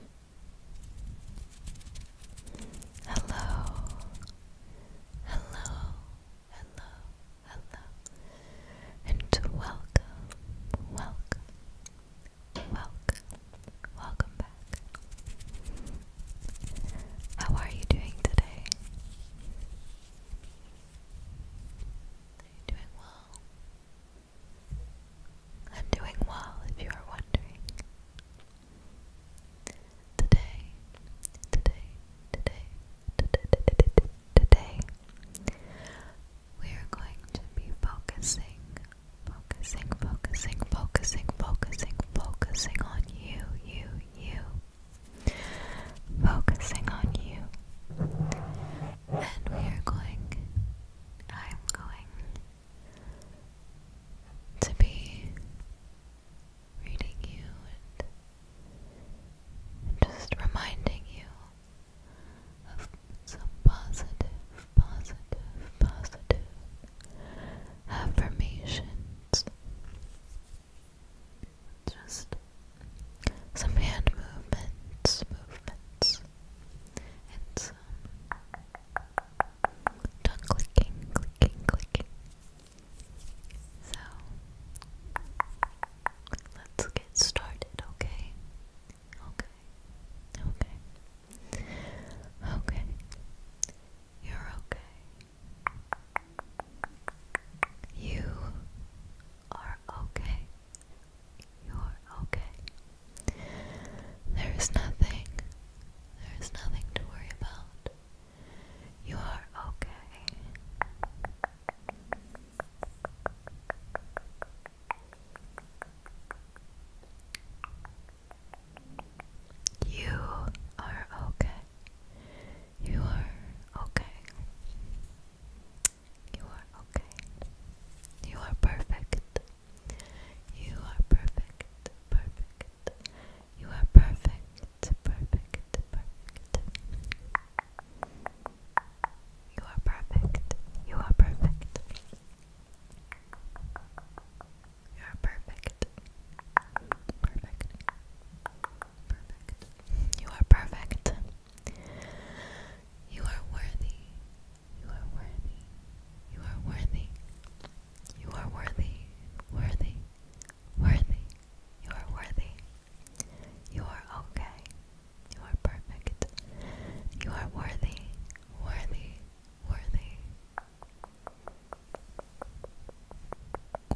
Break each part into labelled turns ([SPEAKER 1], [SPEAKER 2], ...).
[SPEAKER 1] Hello, hello, hello, hello, and welcome, welcome, welcome, welcome back. How are you doing today? Are you doing well? I'm doing well, if you are wondering. Today, today, today, today, today, we are going to be focusing, focusing, focusing, focusing, focusing, focusing on you, you, you, focusing on you, and we are going. I'm going to be reading you and just reminding you of some positive, positive, positive affirmations. Just some hand movements, movements, and Tongue clicking, clicking, clicking. So, let's get started, okay? Okay, okay, okay. You're okay. You are okay. You're okay. There is nothing. There is nothing to worry about. You are okay. You are okay. You are okay. You are okay. You are perfect. You are perfect, perfect. You are perfect, perfect, perfect. You are perfect. You are perfect. You are perfect. Perfect. Perfect. You are perfect. You are worthy. You are worthy. You are worthy. You are worthy. Worthy. Worthy. You are worthy. You are okay. You are perfect. You are worthy. Worthy. Worthy.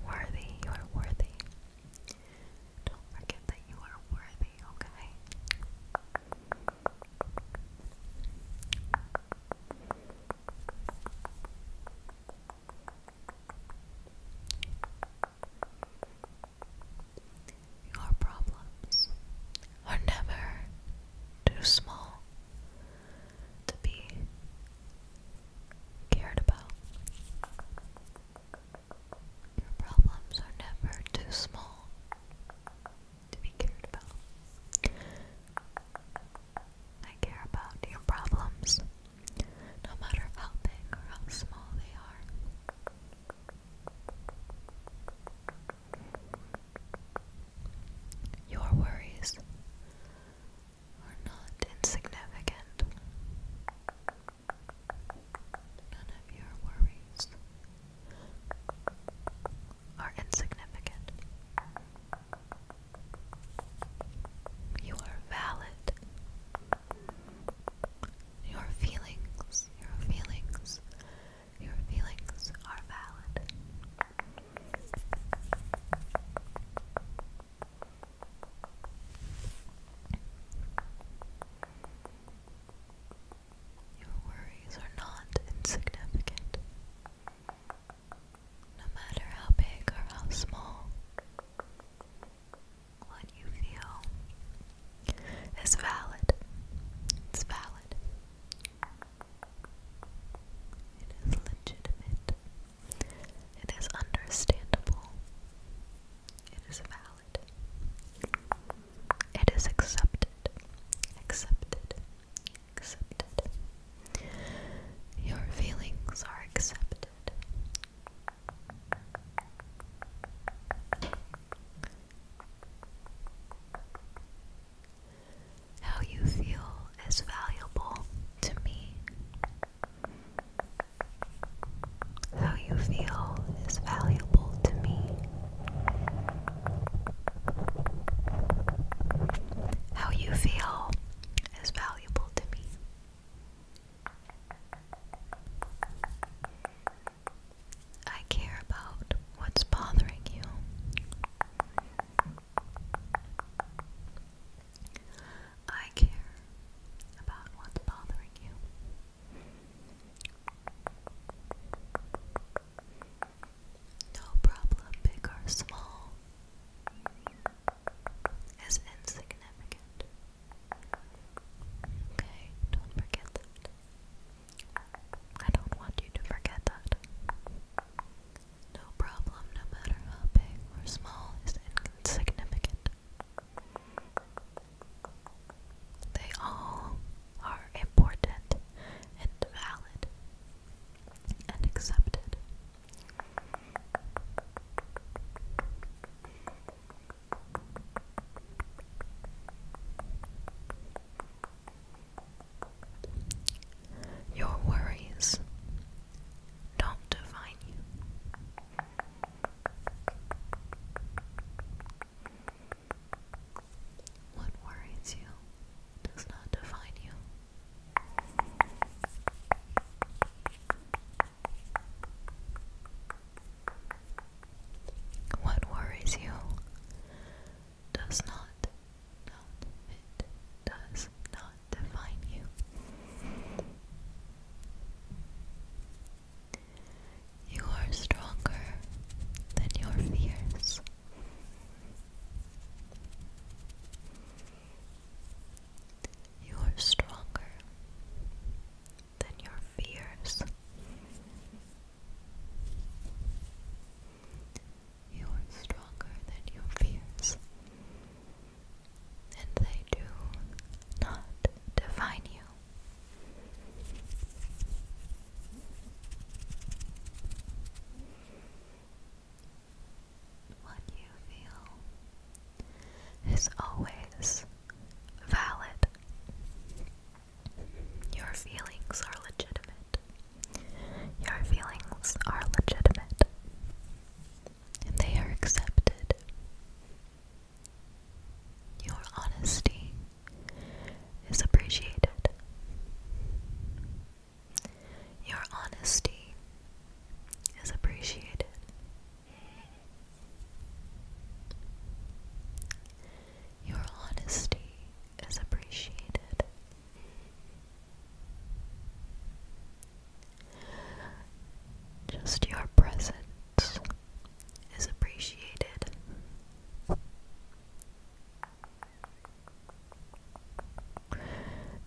[SPEAKER 1] Worthy. You are worthy. Don't forget that you are worthy, okay? Your problems are never too small to be cared about. Your problems are never too small to be cared about. I care about your problems, no matter how big or how small they are. Your worries are not insignificant. None of your worries are insignificant. You are valid. Your feelings, your feelings, your feelings are valid. Your worries are not insignificant. No matter how big or how small, what you feel is valid. It's valid. It is legitimate. It is understandable. It is valid. It is accepted. Accepted. Accepted. Your feelings are accepted. How you feel is valuable to me. How how you feel is valuable to me. How you feel is valuable to me. I care about what's bothering you. I care about what's bothering you. No problem, big or small, is insignificant. Okay, don't forget that. I don't want you to forget that. No problem, no matter how big or small, is insignificant. They all are important and valid and accepted. Your worries don't define you. What worries you does not define you. What worries you does not, not, it does not define you. You are stronger than your fears. You are stronger than your fears. You are stronger than your fears, and they do not define you. What you feel is always valid. Your feelings are legitimate. Your feelings are legitimate. And they are accepted. Your honesty is appreciated. Your honesty is appreciated. Your honesty is appreciated. Just your presence is appreciated.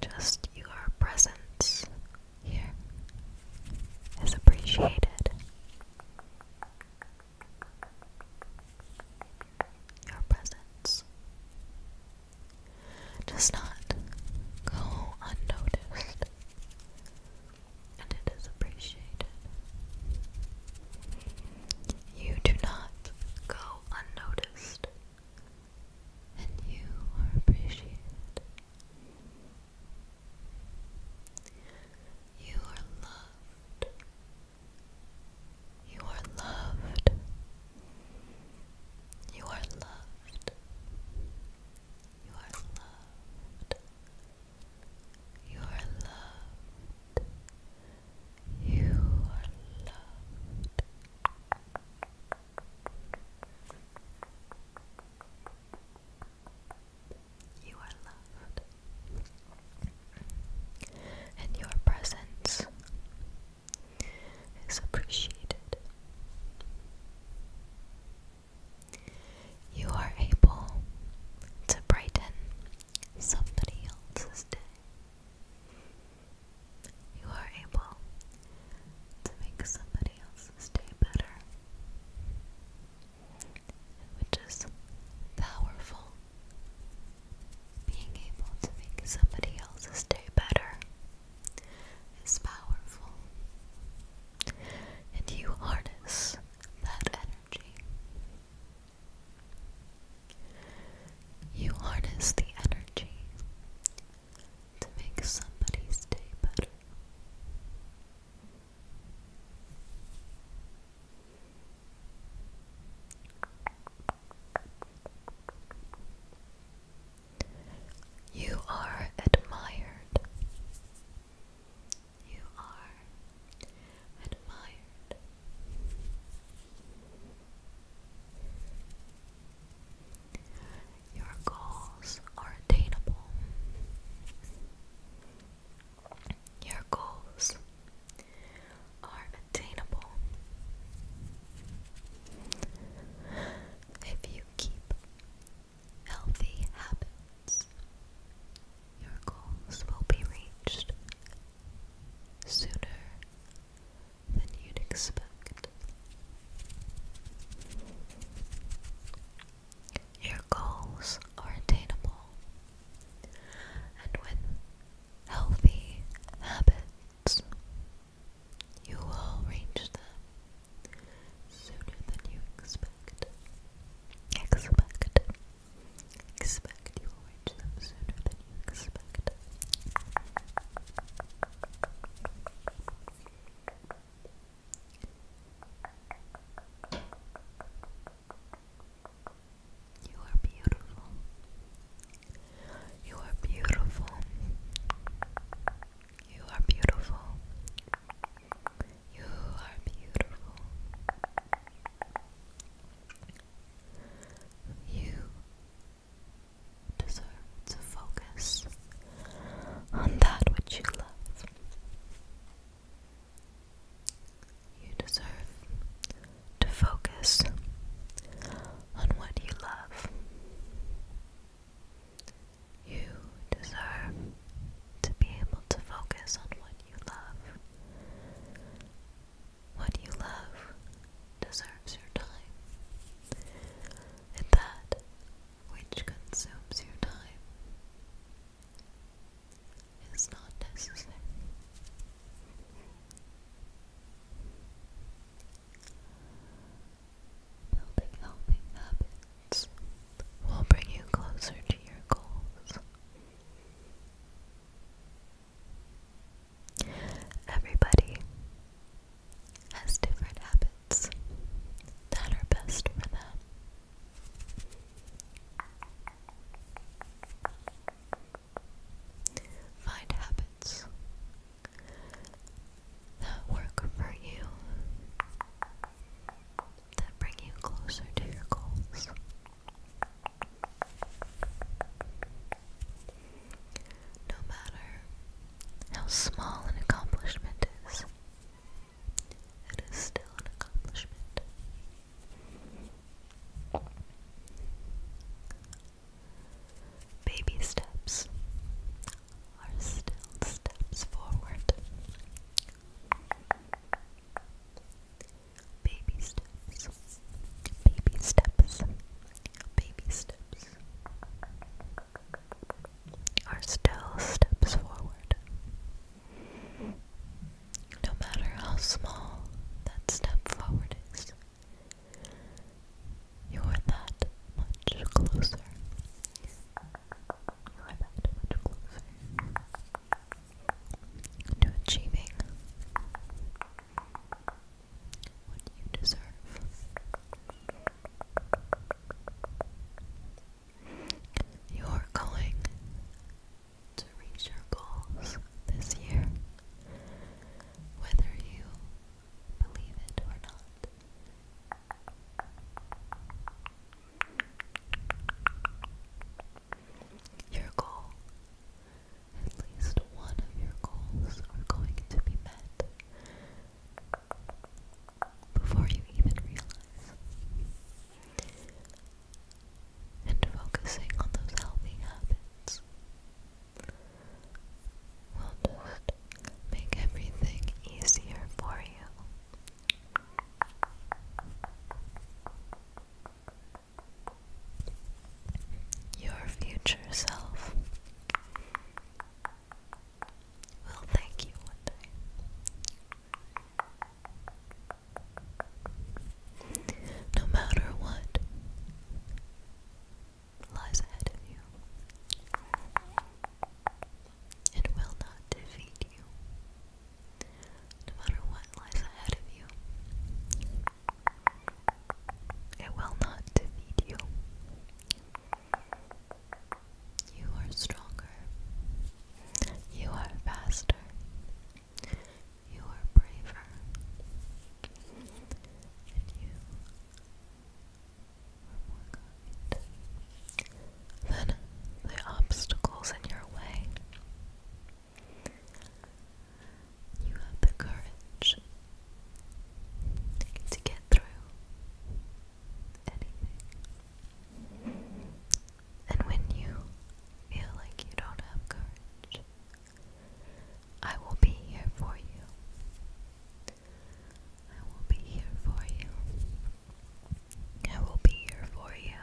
[SPEAKER 1] Just your presence here is appreciated. Your presence does not go unnoticed and it is appreciated. You do not go unnoticed, and you are appreciated. You are loved. You are loved. You are loved. You are loved. You are loved. You are loved. You are loved. You are loved. And your presence is appreciated. You are able to brighten somebody else's day. You are able to make somebody else's day better, which is powerful. Being able to make somebody else's day better is powerful, and you harness that energy. You harness the energy to make somebody's day better. You are admired you are admired. Your goals are attainable. Your goals are attainable. If you keep healthy habits, your goals will be reached sooner than you'd expect. Your goals are attainable, and with healthy habits, you will reach them sooner than you expect. Expect. Expect you will reach them sooner than you expect. You are beautiful. You are beautiful. You are beautiful. You are beautiful. You deserve to focus on that which you love. You deserve to focus on what you love. You deserve to be able to focus on what you love. What you love deserves your time, and that which consumes your time is not necessary. Building healthy habits thoughts will bring you closer to your goals. Everybody has different habits that are best for them. Find habits that work for you that bring you closer to your goals. No matter how small an accomplishment is, it is still an accomplishment. Baby steps are still steps forward. Baby steps, baby steps, baby steps are still steps forward. No matter how small that step forward is, you're that much closer to achieving what you deserve. You are going to reach your goals this year, whether you believe it or not. Your goal, at least one of your goals, are going to be met before you even realize. And focusing on those healthy habits will just make everything easier for you. Your future self will thank you one day. No matter what lies ahead of you, it will not defeat you, no matter what lies ahead of you. It will not defeat you. You are stronger. You are faster. You are braver. And you then the obstacles in your way. You have the courage to get through And when you feel like you don't have courage, I will be here for you. I will be here for you. I will be here for you.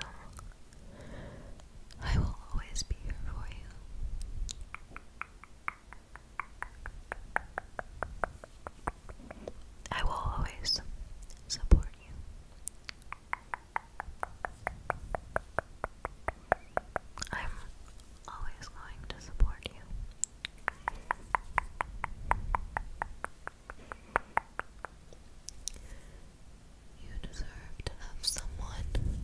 [SPEAKER 1] I will always be here for you. I will always support you. I'm always going to support you. You deserve to have someone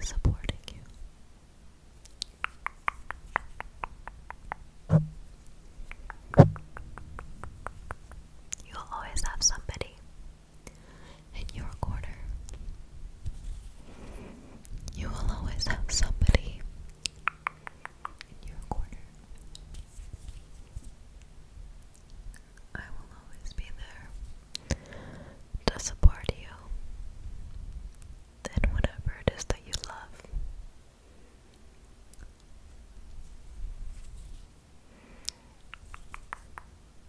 [SPEAKER 1] supporting you. You'll always have somebody in your corner. You will always have somebody in your corner. I will always be there to support you in whatever it is that you love.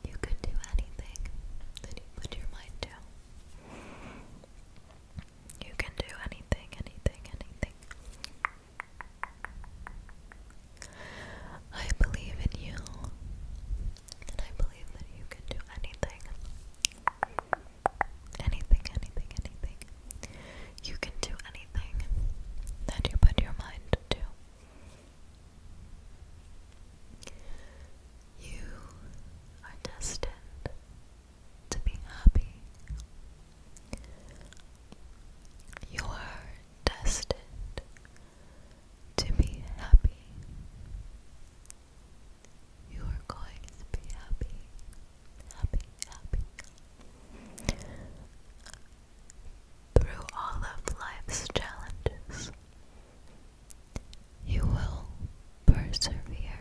[SPEAKER 1] You can do anything that you put your mind to. You can do anything, anything, anything. I believe in you, and I believe that you can do anything. Anything, anything, You can do anything that you put your mind to. You are destined to be happy. You are destined to be happy. You are going to be happy, happy, happy. Through all of life's challenges, you will persevere,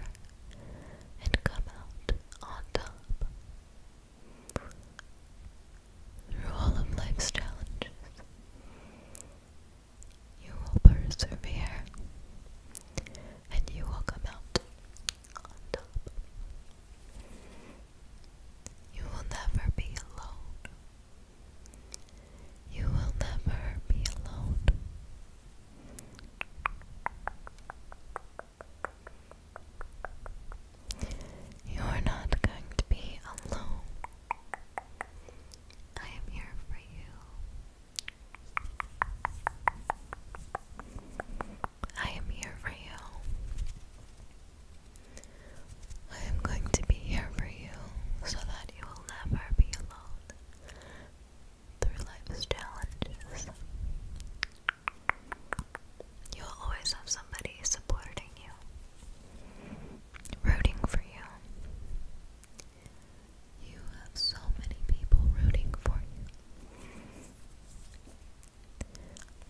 [SPEAKER 1] and come out on top. Through all of life's challenges, you will persevere and you will come out on top. You will never be alone. You will never be alone. You're not going to be alone. I am here for you. I am here for you. I am going to be here for you so that you will never be alone through life's challenges. You'll always have somebody supporting you, rooting for you. You have so many people rooting for you.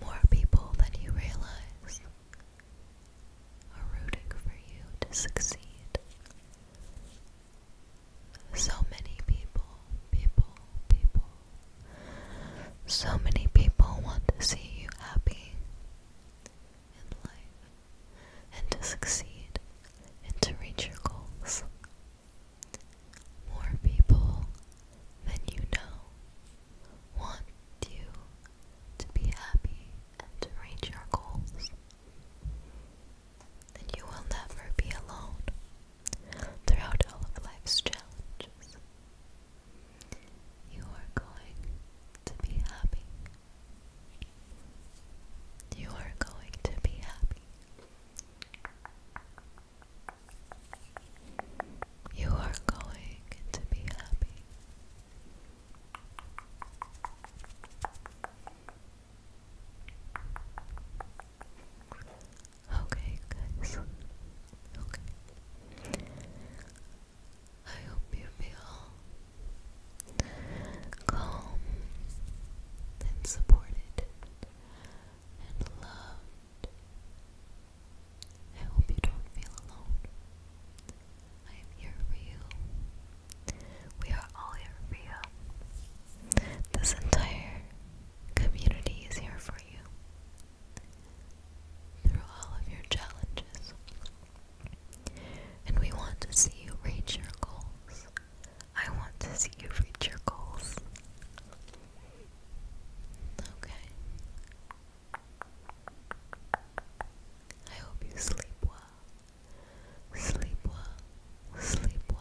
[SPEAKER 1] More people than you realize are rooting for you to succeed. So many people, people, people. So many people want to see you happy in life and to succeed and to reach your goals. More people than you know want you to be happy and to reach your goals then you will never be alone throughout all of life's challenges. You are going to be happy. You are going to be happy. You are going to be happy. Okay, guys. Okay. I hope you feel calm and supported and loved. I hope you don't feel alone. I am here for you. We are all here for you. This entire community is here for you through all of your challenges. And we want to see you reach your goals. I want to see you reach your goals. Okay. I hope you sleep well. Sleep well. Sleep well.